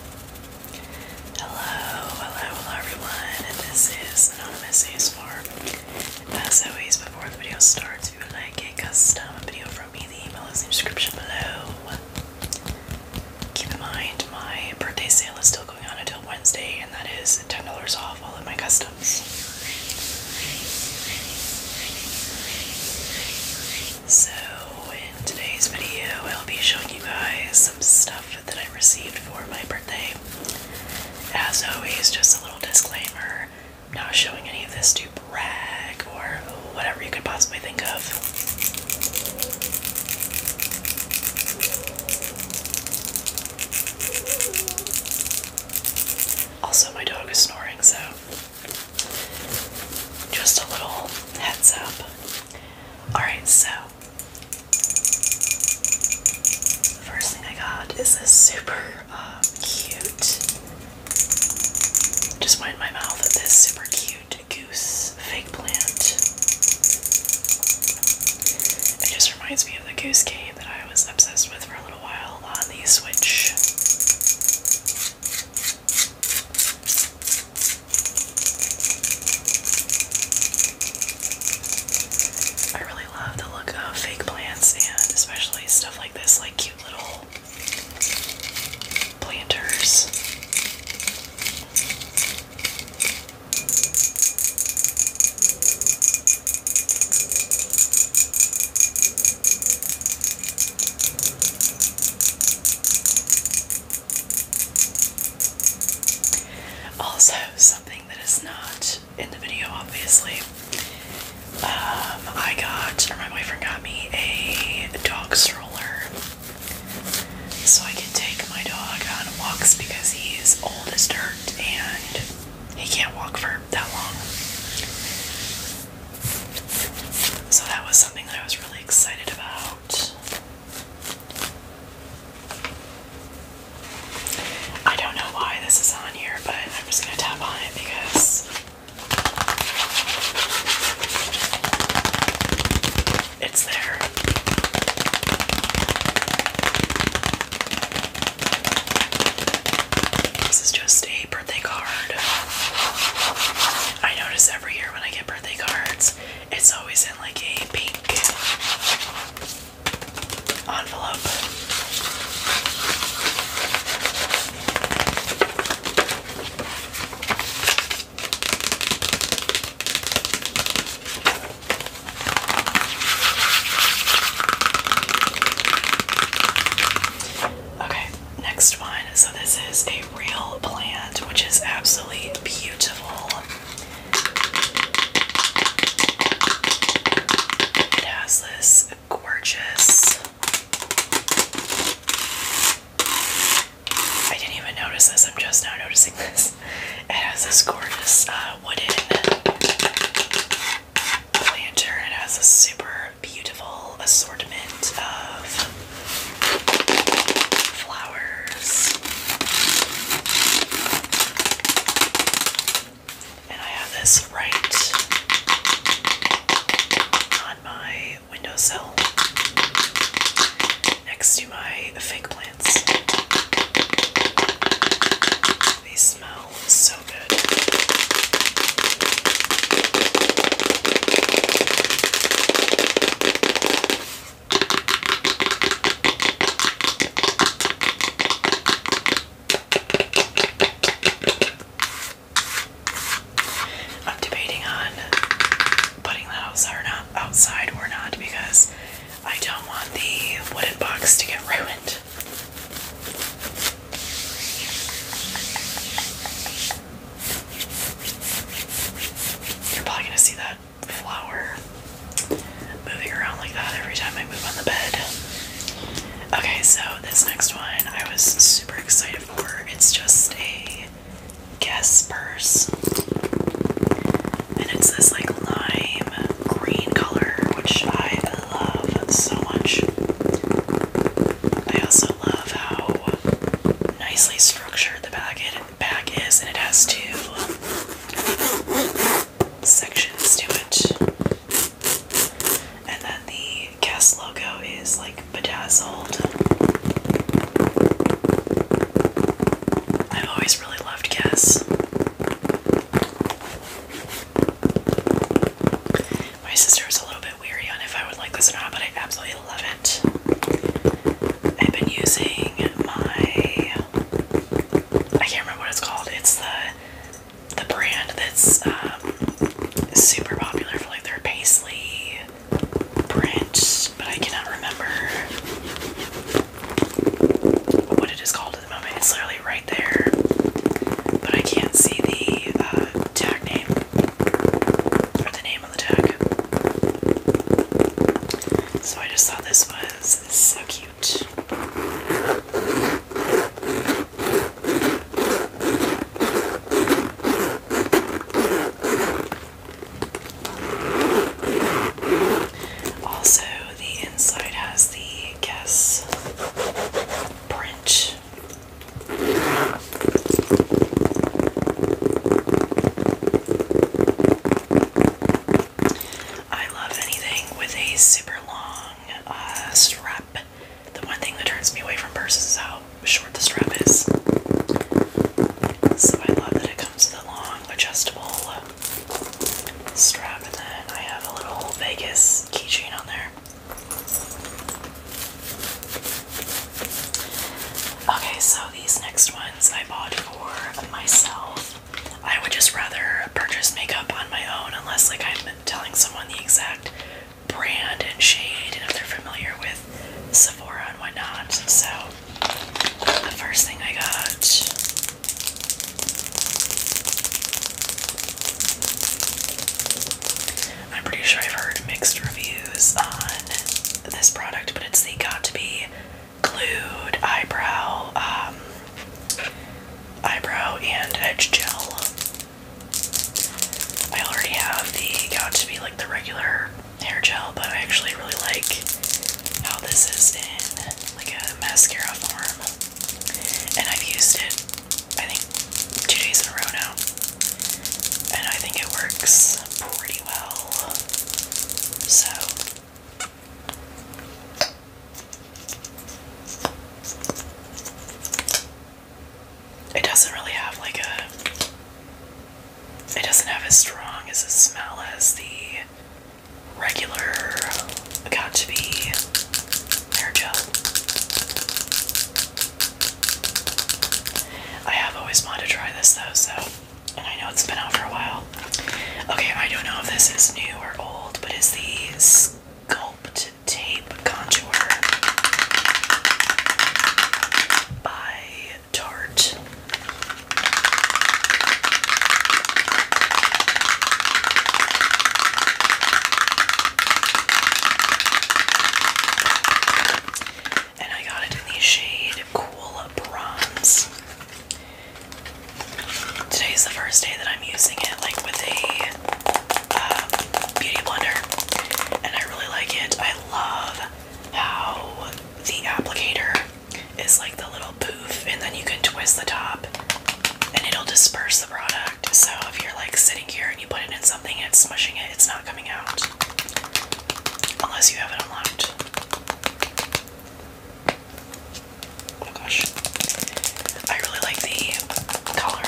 Hello, hello, hello everyone. This is Anonymous ASMR. As always, before the video starts, if you would like a custom video from me, the email is in the description below. Keep in mind, my birthday sale is still going on until Wednesday, and that is $10 off all of my customs. So, in today's video, I'll be showing you guys some stuff that I received for my birthday. As always, just a little disclaimer I'm not showing any of this to brag or whatever you could possibly think of. Also, my dog is snoring, so just a little heads up. Alright, so the first thing I got is this super uh, cute. Just went my mouth at this super cute goose fake plant. It just reminds me of the goose game that I was obsessed with for a little while on the Switch. I really love the look of fake plants and especially stuff like this, like cute little planters. Also, something that is not in the video, obviously. Um, I got, or my boyfriend got me a dog stroller, so I can take my dog on walks because he is old as dirt and he can't walk for that long. So that was something that I was really excited about. I don't know why this is on here, but I'm just going to tap on it because it's there. This is just a birthday card. I notice every year when I get birthday cards it's always in like a pink envelope. Okay, Next one. So this is a real plant, which is absolutely beautiful. It has this gorgeous. I didn't even notice this. I'm just now noticing this. It has this gorgeous uh, wooden lantern. It has a super beautiful assortment of flowers. And I have this right on my windowsill next to my fake plants. They smell so good. I'm debating on putting that outside or not outside or not because I don't want the wooden box to get ruined. You're probably gonna see that flower moving around like that every time I move on the bed. Okay, so this next one I was super excited for. It's just a guess purse. And it's this like lime green color, which I love so much. I also love how nicely structured the bag bag is, and it has two um, sections to it. And then the Guess logo is like bedazzled. I've always really loved Guess. My sister is a little bit weary on if I would like this or not, but I absolutely love it. I've been using my I can't remember what it's called. It's the the brand that's um, super popular for like their paisley print, but I cannot remember what it is called at the moment. It's literally right there, but I can't see the uh, tag name or the name so I just thought this was so cute. Also, the inside has the Guess print I love anything with a super long uh, strap. The one thing that turns me away from purses is how short the strap is. So I love that it comes with a long, adjustable strap, and then I have a little Vegas keychain on there. Okay, so these next ones I bought for myself. I would just rather purchase makeup on my own unless like I'm telling someone the exact brand and shade and if they're familiar with Sephora and whatnot. So the first thing I got I'm pretty sure I've heard mixed reviews on this product, but it's the Got to Be Glued Eyebrow um, Eyebrow and Edge Gel. I already have the Got to Be like the regular hair gel, but I actually really like how this is in like a mascara form, and I've used it. I think two days in a row now. And I think it works pretty well. So. It doesn't really have like a. It doesn't have as strong as a smell as the regular got to be hair gel. I have always wanted to try this though, so I know it's been out for a while. Okay, I don't know if this is new or old, but it's the Sculpt Tape Contour by Tarte and I got it in the shade Cool Bronze. Today's the first day that I'm using it, like with a um, beauty blender, and I really like it. I love how the applicator is like the little poof, and then you can twist the top and it'll disperse the product. So if you're like sitting here and you put it in something and it's smushing it it's not coming out unless you have it unlocked. Oh gosh, I really like the color.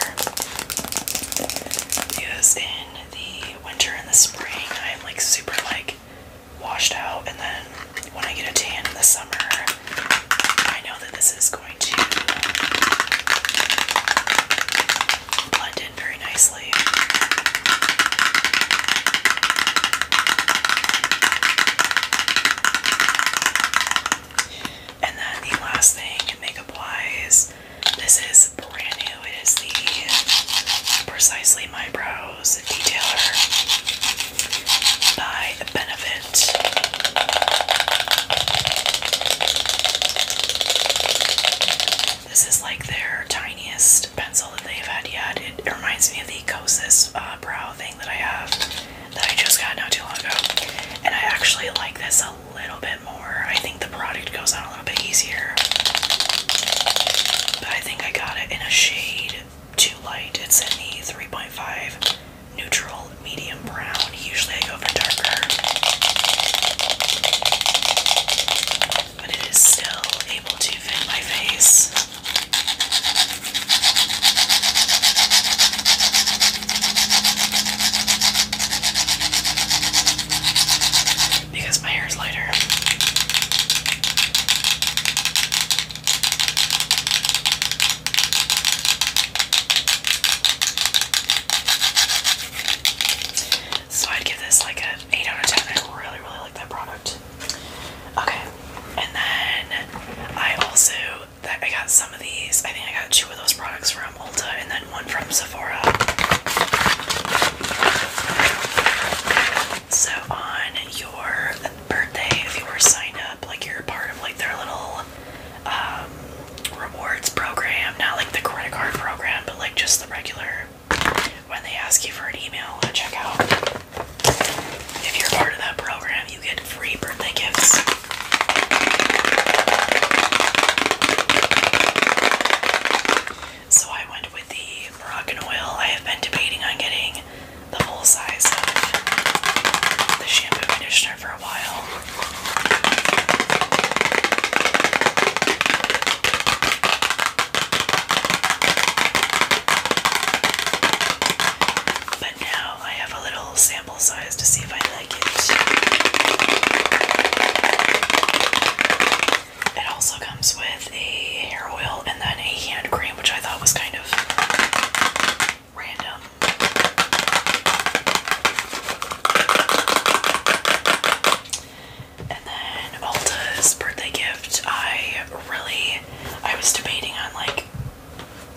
Because in the winter and the spring, I'm like super like washed out, and then when I get a tan in the summer, I know that this is going to very nicely. And then the last thing, makeup wise, this is brand new. It is the Precisely My Brows Detailer by Benefit. This is like their tiniest pencil that they've had yet. It reminds me of the Kosas uh, brow thing that I have that I just got not too long ago. And I actually like this a little bit more. I think the product goes on a little bit easier. But I think I got it in a shade too light. It's in the 3.5 neutral medium brown. Usually I go for darker. But it is still able to fit my face. Because my hair is lighter. So I'd give this like an 8 out of 10. I really, really like that product. Okay, and then I also that I got some of these. I think I got two of those products from Ulta and then one from Sephora. So on your birthday, if you were signed up, like you're part of like their little um, rewards program, not like the credit card program, but like just the regular when they ask you for an email at checkout. If you're part of that program, you get free birthday gifts. So I went with the Moroccan oil. I have been debating on getting the full size of the shampoo conditioner for a while. But now I have a little sample size to see if I like it. It also comes with a hair oil and then a hand cream, which I thought was kind of random. And then Alta's birthday gift, I really I was debating on like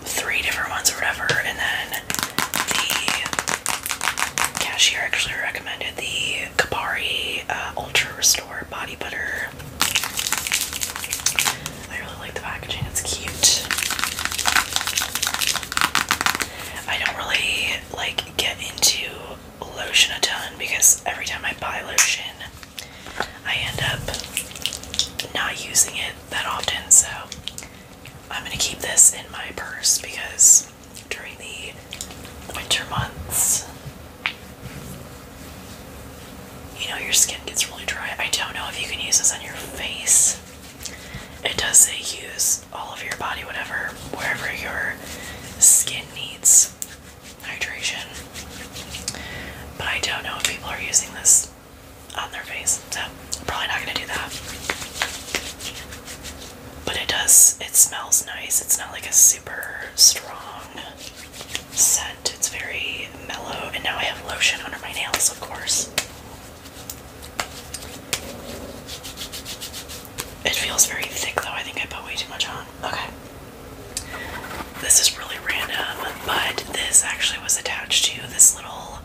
three different ones or whatever, and then the cashier actually recommended the Kapari uh, Ultra Restore Body Butter. I really like the packaging, it's cute. I don't really like get into lotion a ton because every time I buy lotion, I end up not using it that often. So I'm gonna keep this in my purse because during the winter months, you know, your skin gets really dry. I don't know if you can use this on your face. It does say use all of your body, whatever, wherever your skin needs hydration. But I don't know if people are using this on their face, so probably not gonna do that. But it does, it smells nice. It's not like a super strong scent, it's very mellow. And now I have lotion under my nails, of course. It feels very thick though. I think I put way too much on. Okay. This is really random, but this actually was attached to this little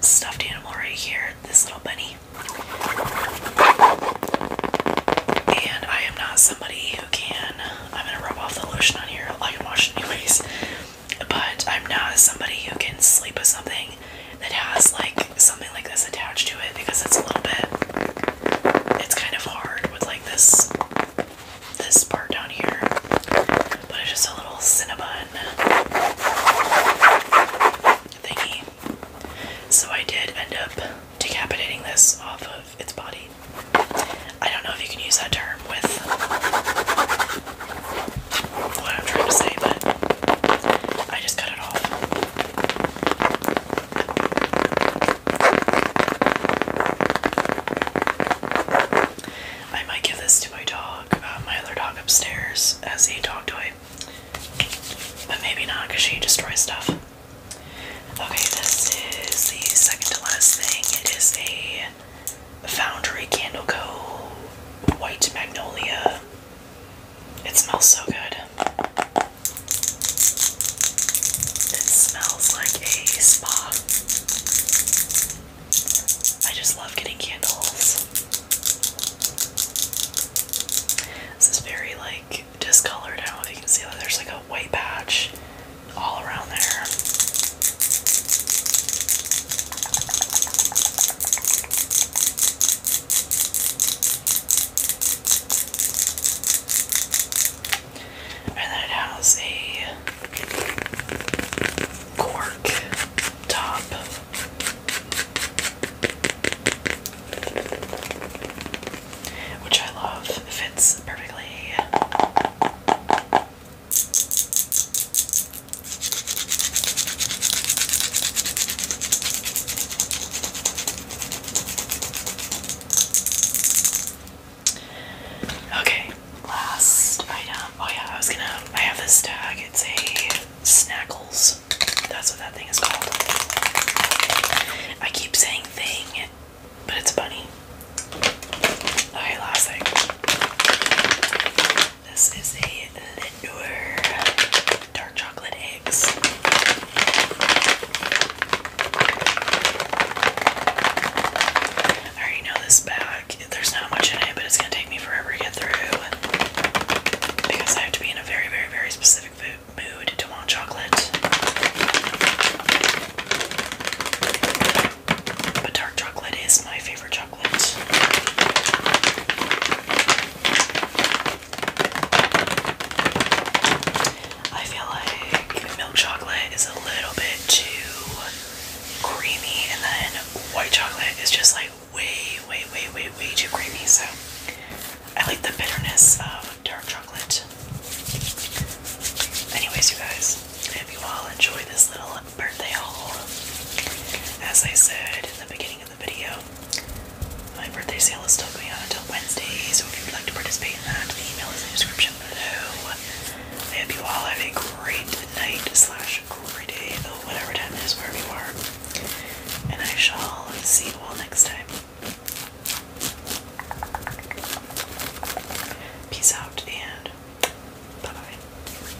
stuffed animal right here, this little bunny. And I am not somebody who can. I'm gonna rub off the lotion on here. I can wash anyways. But I'm not somebody who can sleep with something that has like something like this attached to it because it's a little bit it's kind of hard with like this this part down here. But it's just a little Cinnabon thingy. So I did end up decapitating this off of its body. I don't know if you can use that term with what I'm trying to say, but I just cut it off. I might give this to my dog, uh, my other dog upstairs, as a dog toy. But maybe not, because she destroys stuff. Okay, this is the second to last thing. It is a Foundry Candle Co. White Magnolia it smells so good. It smells like a spa. I just love getting candles. This is very like discolored. I don't know if you can see that there's like a white patch all around there. And then it has a cork top. Which I love. fits perfectly. Okay, last item. Oh yeah, I was gonna I have this tag. It's a Snackles. That's what that thing is called. I keep saying thing, but it's a bunny. Okay, last thing. This is a Lindor dark chocolate eggs. I already know this bag. There's not much in it, but it's gonna take me forever to get through because I have to be in a very, very, very specific mood to want chocolate. But dark chocolate is my favorite I feel like milk chocolate is a little bit too creamy, and then white chocolate is just like way, way, way, way, way too creamy. So I like the bitterness of dark chocolate. Anyways, you guys, I hope you all enjoy this little birthday haul. As I said in the beginning of the video, my birthday sale is still going on until Wednesday, so if you would like to participate in that, the email is in the description below. I hope you all have a great night slash great day, whatever time is wherever you are. And I shall see you all next time. Peace out and bye bye.